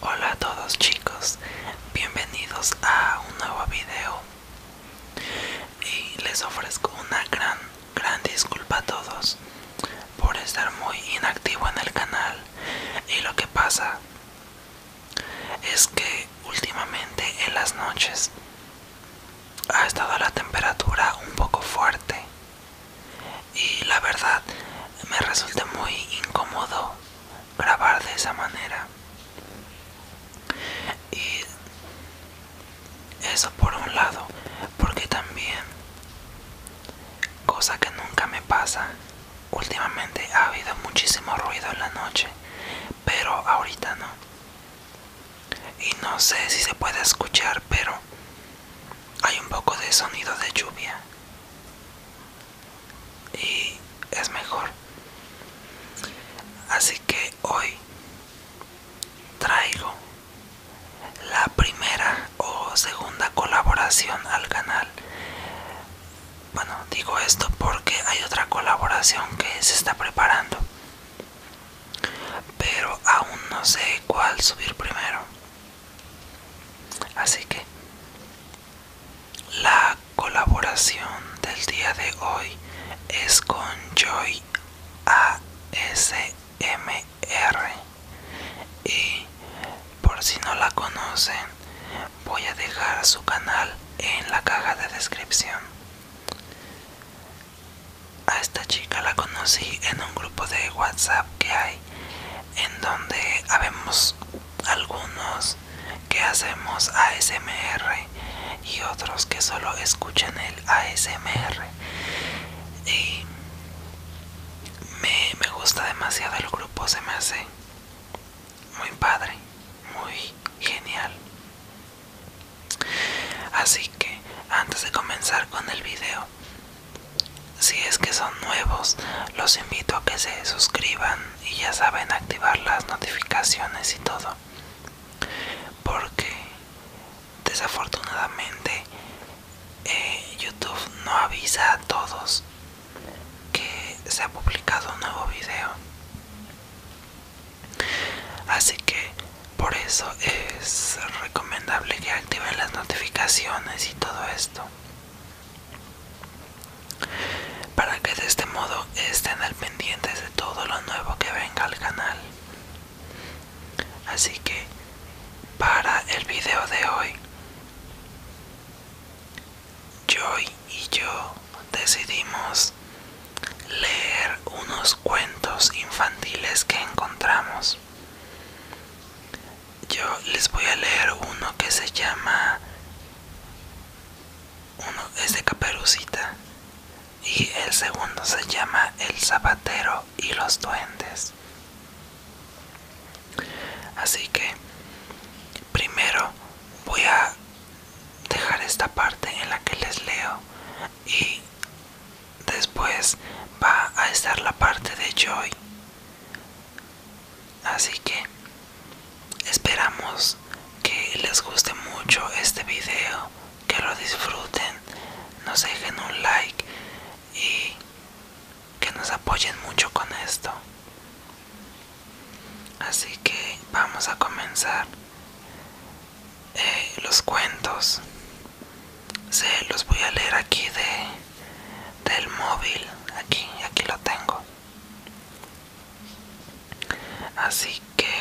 Hola a todos chicos, bienvenidos a un nuevo video y les ofrezco una gran, gran disculpa a todos por estar muy inactivo en el canal y lo que pasa es que últimamente en las noches ha estado la temperatura un poco fuerte y la verdad me resulta muy incómodo grabar de esa manera y eso por un lado porque también cosa que nunca me pasa últimamente ha habido muchísimo ruido en la noche pero ahorita no y no sé si se puede escuchar, pero hay un poco de sonido de lluvia. Y es mejor. Así que hoy traigo la primera o segunda colaboración al canal. Bueno, digo esto porque hay otra colaboración que se está preparando pero aún no sé cuál subir primero así que la colaboración del día de hoy es con Joy ASMR y por si no la conocen voy a dejar su canal en la caja de descripción a esta chica la conocí en un grupo de WhatsApp que hay, en donde habemos algunos que hacemos ASMR y otros que solo escuchan el ASMR. Y me, me gusta demasiado el grupo, se me hace muy padre, muy genial. Así que antes de comenzar con el video, si es que son nuevos, los invito a que se suscriban y ya saben activar las notificaciones y todo. Porque desafortunadamente eh, YouTube no avisa a todos que se ha publicado un nuevo video así que por eso es recomendable que activen las notificaciones y todo esto para que de este modo estén al pendiente de todo lo nuevo que venga al canal así que para el video de hoy Joy y yo decidimos leer unos cuentos infantiles que encontramos. Yo les voy a leer uno que se llama... Uno es de Caperucita y el segundo se llama El zapatero y los duendes. Así que primero voy a dejar esta parte en la que les leo y Después va a estar la parte de Joy. Así que esperamos que les guste mucho este video, que lo disfruten, nos dejen un like y que nos apoyen mucho con esto. Así que vamos a comenzar eh, los cuentos se los voy a leer aquí de del móvil aquí aquí lo tengo así que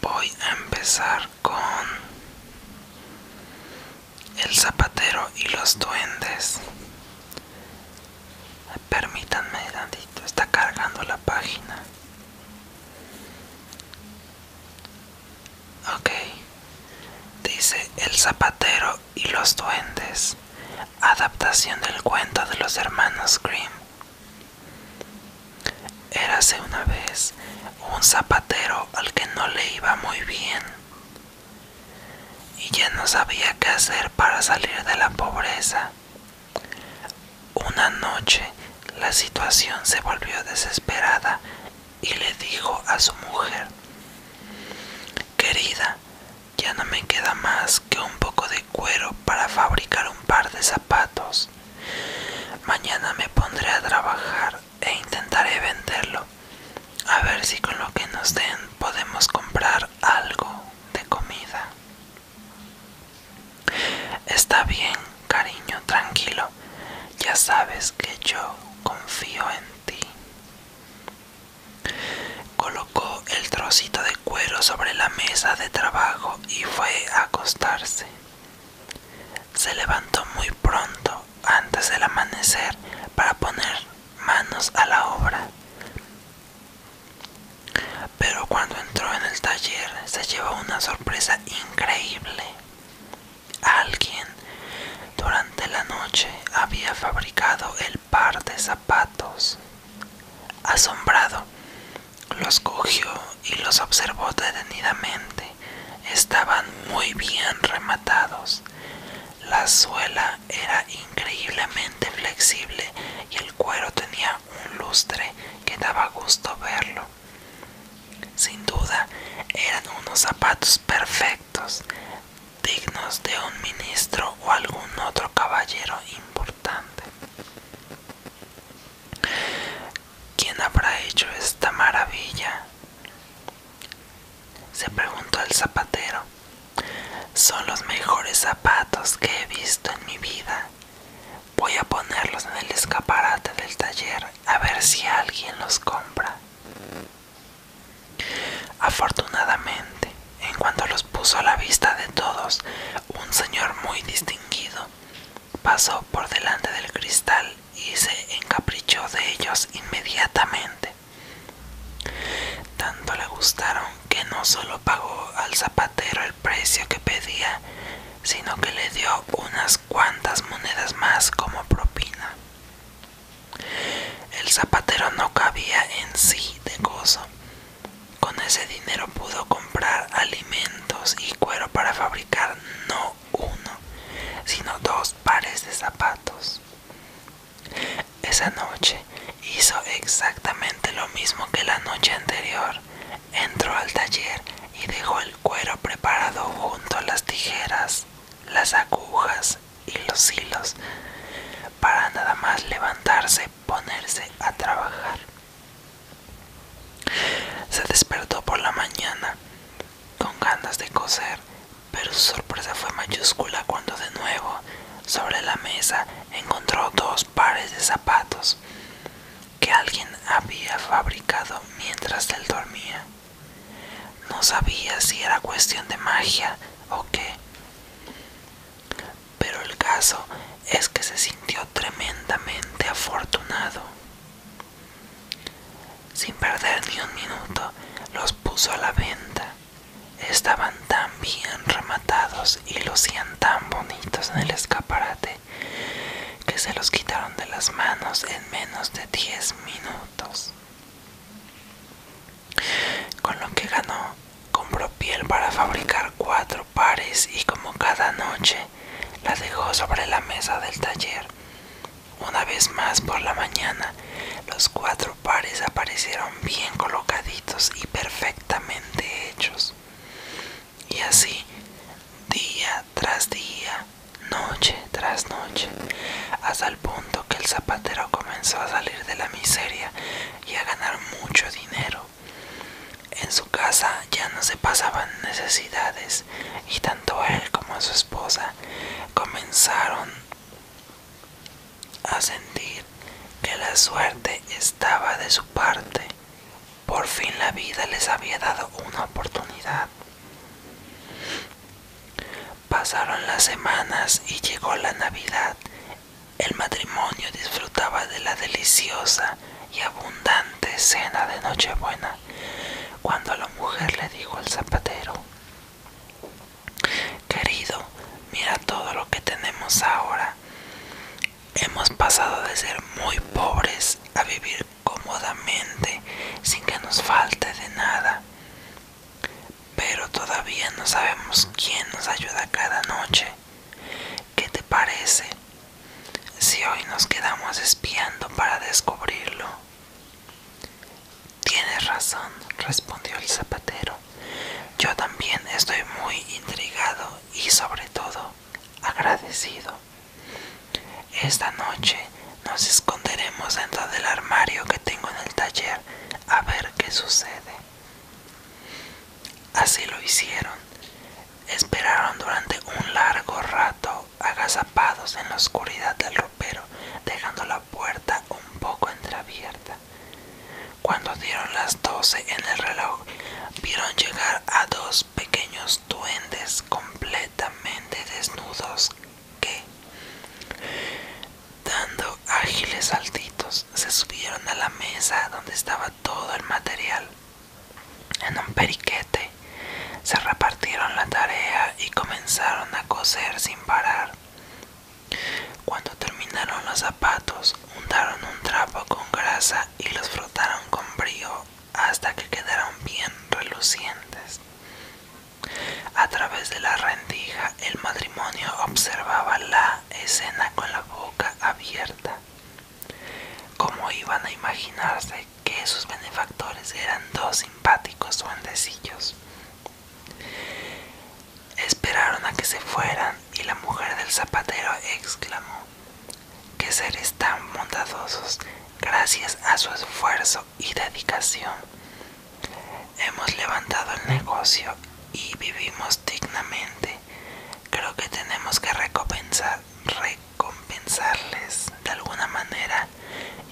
voy a empezar con el zapatero y los duendes Permítanme, grandito, está cargando la página. Ok, dice El Zapatero y los Duendes, adaptación del cuento de los hermanos Grimm. Érase una vez un zapatero al que no le iba muy bien y ya no sabía qué hacer para salir de la pobreza una noche la situación se volvió desesperada y le dijo a su mujer, Querida, ya no me queda más que un poco de cuero para fabricar un par de zapatos. Mañana me pondré a trabajar e intentaré venderlo. A ver si con lo que nos den podemos comprar algo de comida. Está bien, cariño, tranquilo. Ya sabes que yo confío en ti. Colocó el trocito de cuero sobre la mesa de trabajo y fue a acostarse. Se levantó muy pronto, antes del amanecer, para poner manos a la obra. Pero cuando entró en el taller se llevó una sorpresa increíble. Alguien durante la noche había fabricado el par de zapatos. Asombrado, los cogió y los observó detenidamente. Estaban muy bien rematados. La suela era increíblemente flexible y el cuero tenía un lustre que daba gusto verlo. Sin duda eran unos zapatos perfectos, dignos de un ministro o algún otro caballero importante. ¿Quién habrá hecho esta maravilla? se preguntó el zapatero. Son los mejores zapatos que he visto en mi vida. Voy a ponerlos en el escaparate del taller a ver si alguien los compra. Afortunadamente, en cuanto los puso a la vista de todos, un señor muy distinguido pasó por delante del cristal y se encaprichó de ellos inmediatamente. Tanto le gustaron que no solo pagó al zapato, el precio que pedía, sino que le dio unas cuantas monedas más como propina. El zapatero no cabía en sí de gozo. Con ese dinero pudo comprar alimentos y cuero para fabricar no uno, sino dos pares de zapatos. Esa noche hizo exactamente lo mismo que la noche anterior. Entró al taller y dejó el cuero preparado junto a las tijeras, las agujas y los hilos, para nada más levantarse, ponerse a trabajar. Se despertó por la mañana con ganas de coser, pero su sorpresa fue mayúscula cuando de nuevo sobre la mesa encontró dos pares de zapatos que alguien había fabricado mientras él dormía. No sabía si era cuestión de magia o qué. Pero el caso es que se sintió tremendamente afortunado. Sin perder ni un minuto, los puso a la venta. Estaban tan bien rematados y lucían tan bonitos en el escaparate que se los quitaron de las manos en menos de 10 minutos. Con lo que ganó, compró piel para fabricar cuatro pares y como cada noche la dejó sobre la mesa del taller. Una vez más por la mañana, los cuatro pares aparecieron bien colocaditos y perfectamente hechos. Y así, día tras día, noche tras noche, hasta el punto que el zapatero comenzó a salir de la miseria y a ganar mucho dinero. En su casa ya no se pasaban necesidades y tanto él como su esposa comenzaron a sentir que la suerte es estaba de su parte. Por fin la vida les había dado una oportunidad. Pasaron las semanas y llegó la Navidad. El matrimonio disfrutaba de la deliciosa y abundante cena de Nochebuena cuando la mujer le dijo al zapatero, Querido, mira todo lo que tenemos ahora. Hemos pasado de ser muy pobres a vivir cómodamente sin que nos falte de nada. Pero todavía no sabemos quién nos ayuda cada noche. ¿Qué te parece si hoy nos quedamos espiando para descubrirlo? Tienes razón, respondió el zapatero. Yo también estoy muy intrigado y sobre todo agradecido. Esta noche nos esconderemos dentro del armario que tengo en el taller a ver qué sucede. Así lo hicieron. Esperaron durante un largo rato agazapados en la oscuridad del ropero, dejando la puerta un poco entreabierta. Cuando dieron las doce en el reloj, vieron llegar a dos pequeños duendes completamente desnudos que, dando ágiles saltitos, se subieron a la mesa donde estaba todo el material. En un periquete se repartieron la tarea y comenzaron a coser sin parar. Cuando terminaron los zapatos, untaron un trapo con grasa y los frotaron con brío hasta que quedaron bien relucientes. A través de la rendija el matrimonio observaba la escena con la boca abierta. Como iban a imaginarse que sus benefactores eran dos simpáticos duendecillos. Esperaron a que se fueran y la mujer del zapatero exclamó, ¡Qué seres tan bondadosos gracias a su esfuerzo y dedicación! Hemos levantado el negocio y vivimos dignamente. Creo que tenemos que recompensar, recompensarles de alguna manera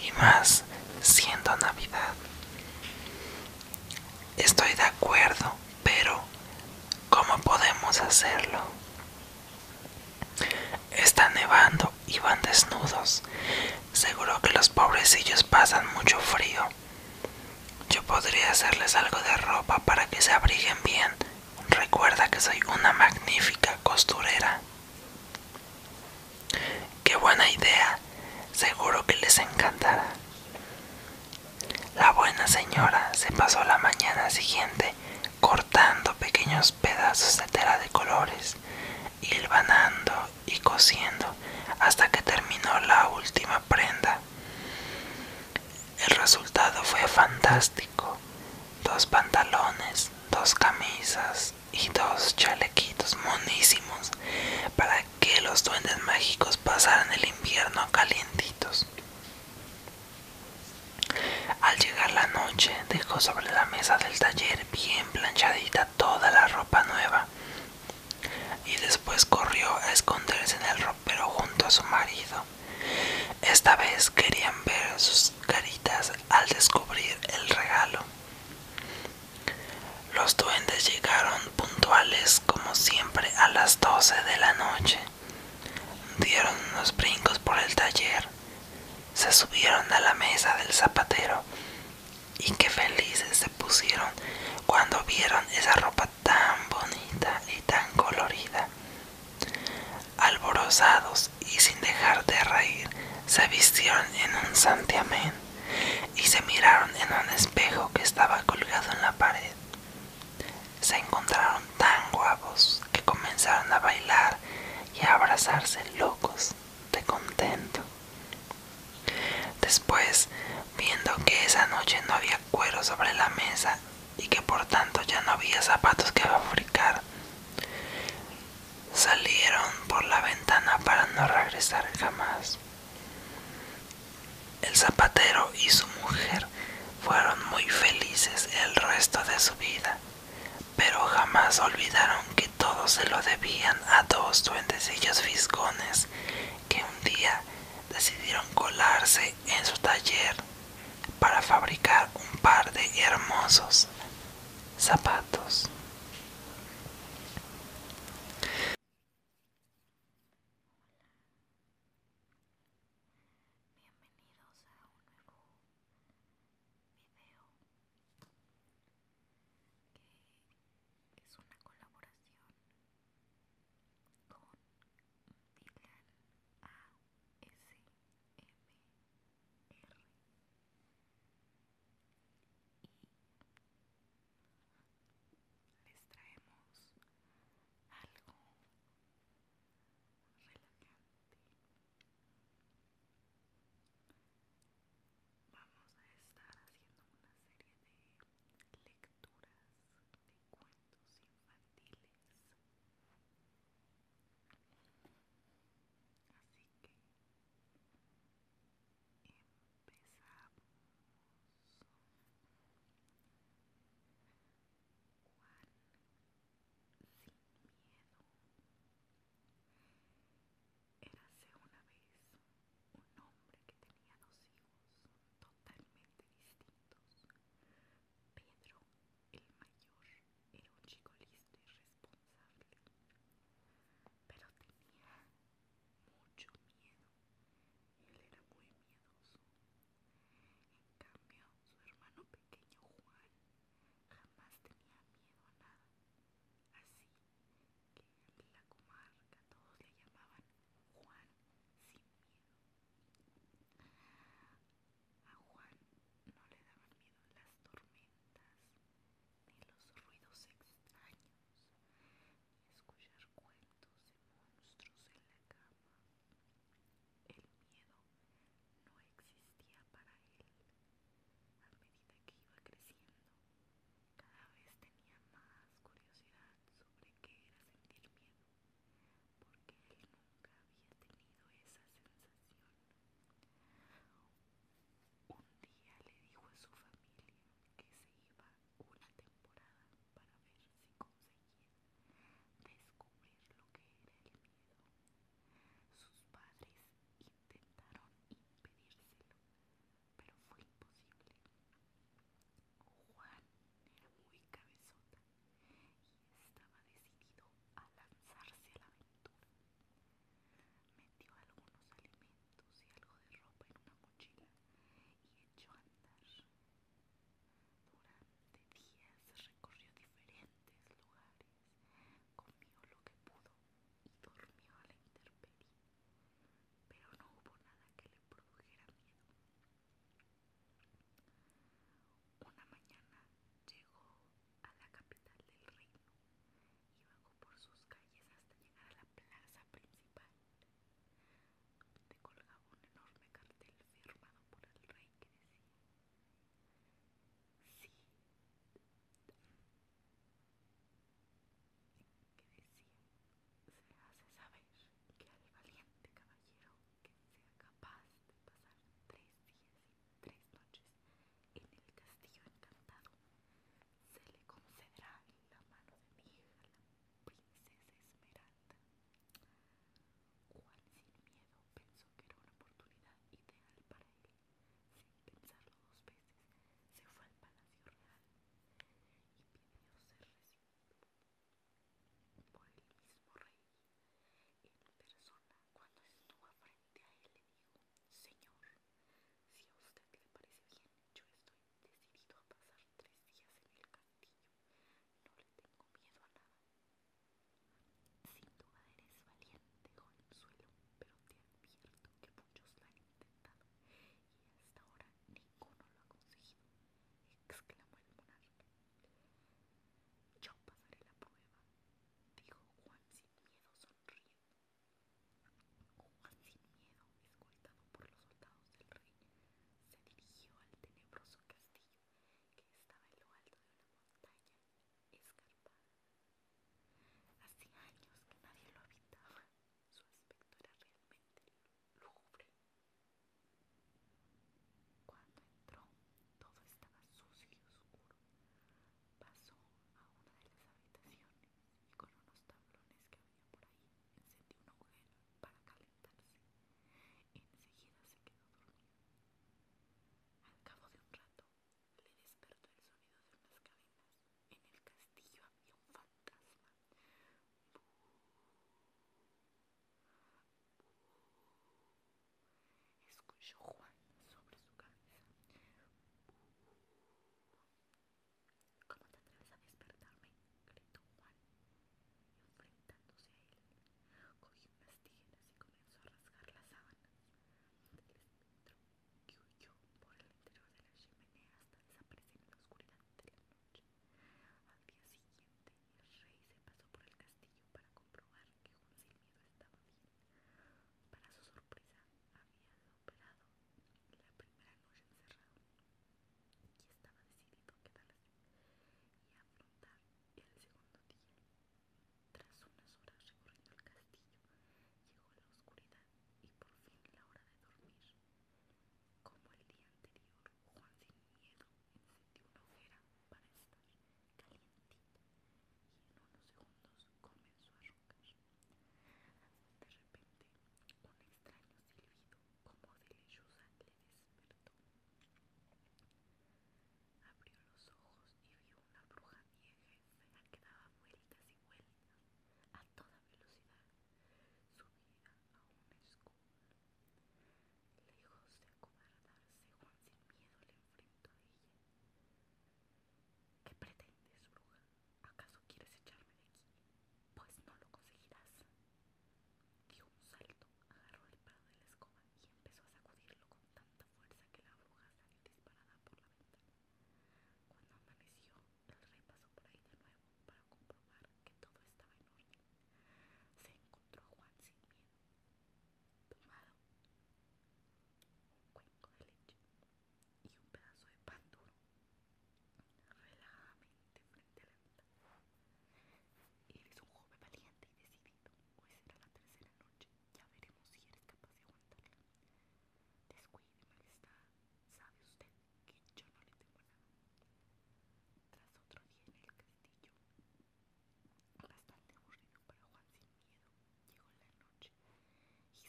y más siendo Navidad. Estoy de acuerdo, pero, ¿cómo podemos hacerlo? Está nevando y van desnudos. Seguro que los pobrecillos pasan mucho frío. Yo podría hacerles algo de ropa para que se abriguen bien. Recuerda que soy una magnífica costurera. Qué buena idea. Seguro que les encantará. La buena señora se pasó la mañana siguiente cortando pequeños pedazos de tela de colores, hilvanando y cosiendo hasta que terminó la última prenda. El resultado fue fantástico. Dos pantalones, dos camisas y dos chalequitos monísimos para que los duendes mágicos pasaran el invierno calientitos. Al llegar la noche dejó sobre la mesa del taller bien planchadita toda la ropa nueva y después corrió a esconderse en el ropero junto a su marido. Esta vez querían ver sus caritas al descubrir el regalo. Los duendes llegaron puntuales como siempre a las 12 de la noche. Dieron unos brincos por el taller, se subieron a la mesa del zapatero y qué felices se pusieron cuando vieron esa ropa tan bonita y tan colorida. Alborozados y sin dejar de reír, se vistieron en un santiamén y se miraron en un espejo que estaba colgado en la pared se encontraron tan guapos que comenzaron a bailar y a abrazarse locos de contento. Después, viendo que esa noche no había cuero sobre la mesa y que por tanto ya no había zapatos que fabricar, salieron por la ventana para no regresar jamás. El zapatero y su mujer fueron muy felices el resto de su vida, pero jamás olvidaron que todo se lo debían a dos duendecillos fiscones que un día decidieron colarse en su taller para fabricar un par de hermosos zapatos. Hola, bienvenidos a un nuevo video que es una colaboración con Dylan ASMR y les traemos algo Vamos a estar haciendo una serie de lecturas de cuentos infantiles. Así que empezamos. Juan sin miedo. hace una vez un hombre que tenía dos hijos totalmente distintos. Pedro, el mayor, era un chico listo y responsable, pero tenía mucho miedo él era muy miedoso. En cambio, su hermano pequeño Juan jamás tenía miedo a nada. Así que en la comarca todos le llamaban Juan sin miedo. A Juan no le daban miedo las tormentas, ni los ruidos extraños, ni escuchar cuentos de monstruos en la cama. El miedo no existía para él. A medida que iba creciendo, cada vez tenía más curiosidad sobre qué era sentir miedo, porque él nunca había tenido esa sensación. Un día le dijo a su familia que se iba una temporada para ver si conseguía descubrir lo que era el miedo. Sus padres intentaron impedírselo, pero fue imposible. Juan era muy cabezota y estaba decidido a lanzarse a la aventura. Metió algunos alimentos y algo de ropa en una mochila y echó a andar. Durante días recorrió diferentes lugares, comió lo que pudo y dormió a la intemperie, pero no hubo nada que le produjera miedo. Una mañana llegó a la capital del reino y bajó por sus calles hasta llegar a la plaza principal. Te colgaba un enorme cartel firmado por el rey que decía sí que decía se hace saber que al valiente caballero que sea capaz de pasar tres días y tres noches en el castillo encantado se le concederá la mano de mi hija la princesa Esmeralda Juan sin miedo pensó que era una oportunidad ideal para él. Sin pensarlo dos veces, se fue al Palacio Real y pidió ser recibido por el mismo rey. En persona, cuando estuvo frente a él, le dijo, Señor, si a usted le parece bien, yo estoy decidido a pasar tres días en el campo". No le tengo miedo a nada. Sin duda eres valiente, suelo pero te advierto que muchos lo han intentado y hasta ahora ninguno lo ha conseguido, exclamó el monarca. Yo pasaré la prueba, dijo Juan sin miedo sonriendo. Juan sin miedo, escoltado por los soldados del rey, se dirigió al tenebroso castillo que estaba en lo alto de una montaña escarpada. Hacía años que nadie lo habitaba. Su aspecto era realmente lúgubre. Cuando entró, todo estaba sucio y oscuro. Pasó a una de las habitaciones y con unos tablones que había por ahí encendió un hoguera para calentar. Enseguida se quedó dormido. Al cabo de un rato, le despertó el sonido de unas cabinas En el castillo había un fantasma. Escuchó Juan sobre su cabeza. ¿Cómo te atreves a despertarme? gritó Juan enfrentándose a él. Cogió unas tijeras y comenzó a rasgar las sábanas. El que huyó por el interior de la chimenea hasta desaparecer en la oscuridad de la noche. Al día siguiente, el rey se pasó por el castillo para comprobar que Juan miedo estaba bien. Para su sorpresa, había operado la primera noche encerrado y estaba decidido a quedarse y afrontar el segundo día. Tras unas horas recorriendo el castillo, llegó la oscuridad y por fin la hora de dormir. Como el día anterior, Juan sin miedo encendió una hoguera para estar calientita y en unos segundos comenzó a roncar. De repente, un extraño silbido como Filechusa le despertó. Abrió los ojos y vio una bruja vieja y fea que daba vueltas y vueltas a toda velocidad, subida a una escudo, Lejos de acobardarse, Juan sin miedo le enfrentó a ella. ¿Qué pretendes, bruja? ¿Acaso quieres echarme de aquí? Pues no lo conseguirás. Dio un salto, agarró el palo de la escoba y empezó a sacudirlo con tanta fuerza que la bruja salió disparada por la ventana. Cuando amaneció, el rey pasó por ahí de nuevo para comprobar que todo estaba en orden. Se encontró Juan sin miedo, tomado un cuenco de leche y un pedazo de pan duro. Relajadamente y Eres un joven valiente y decidido. Hoy pues será la tercera noche. Ya veremos si eres capaz de aguantarla. Descuide, está, Sabe usted que yo no le tengo nada. Tras otro día en el castillo, bastante aburrido para Juan sin miedo, llegó la noche. Hizo como de costumbre una hoguera para calentarse y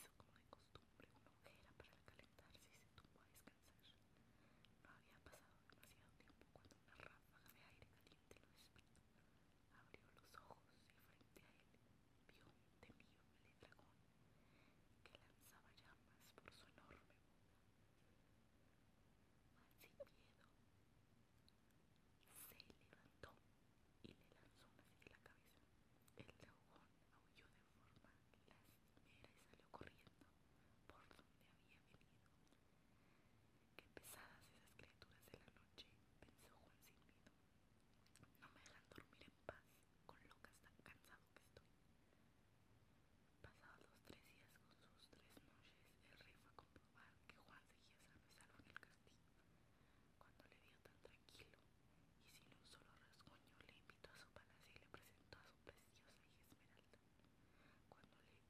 se tumbó a no había pasado demasiado tiempo cuando una ráfaga de aire caliente lo despertó. Abrió los ojos y frente a él vio un temible dragón que lanzaba llamas por su enorme boca. sin miedo, se levantó y le lanzó una en la cabeza. El dragón aulló de forma lastimera y salió corriendo por donde había venido. Qué pesadas esas criaturas de la noche, pensó Juan miedo. No me dejan dormir en paz, con locas tan cansado que estoy. Pasados los tres días con sus tres noches, el rey fue a comprobar que Juan seguía sano salvo en el castillo. Cuando le dio tan tranquilo y sin un solo rasguño, le invitó a su palacio y le presentó a su preciosa hija Esmeralda. Cuando le vio,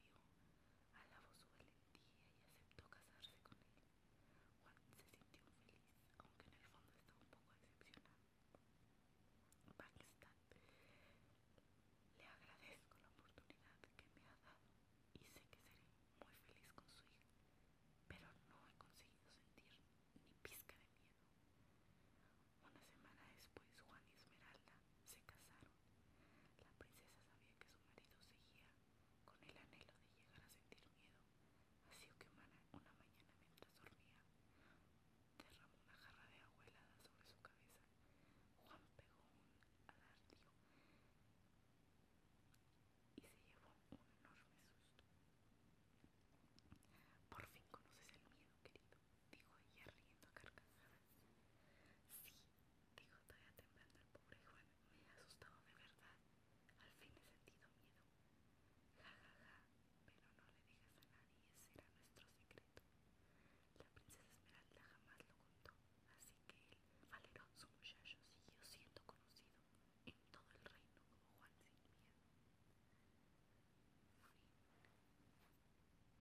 alabó su valentía y aceptó casarse con él. Juan se sintió feliz, aunque en el fondo estaba un poco decepcionado. Pakistan, le agradezco la oportunidad que me ha dado y sé que seré muy feliz con su hija, pero no he conseguido sentir ni pizca de miedo. Una semana después Juan y Esmeralda se casaron. La princesa sabía que su marido seguía con el anhelo de llegar a sentir miedo, así que una mañana mientras dormía, derramó una jarra de agua helada sobre su cabeza. Juan pegó un alardio y se llevó un enorme susto. Por fin conoces el miedo, querido, dijo ella riendo carcajadas. Sí, dijo todavía temblando el pobre Juan, me ha asustado de verdad. Al fin he sentido miedo. Ja, ja, ja, pero no le digas a nadie, ese era nuestro secreto. La princesa Esmeralda jamás lo contó, así que él, su muchacho, siguió siendo conocido en todo el reino como Juan sin miedo.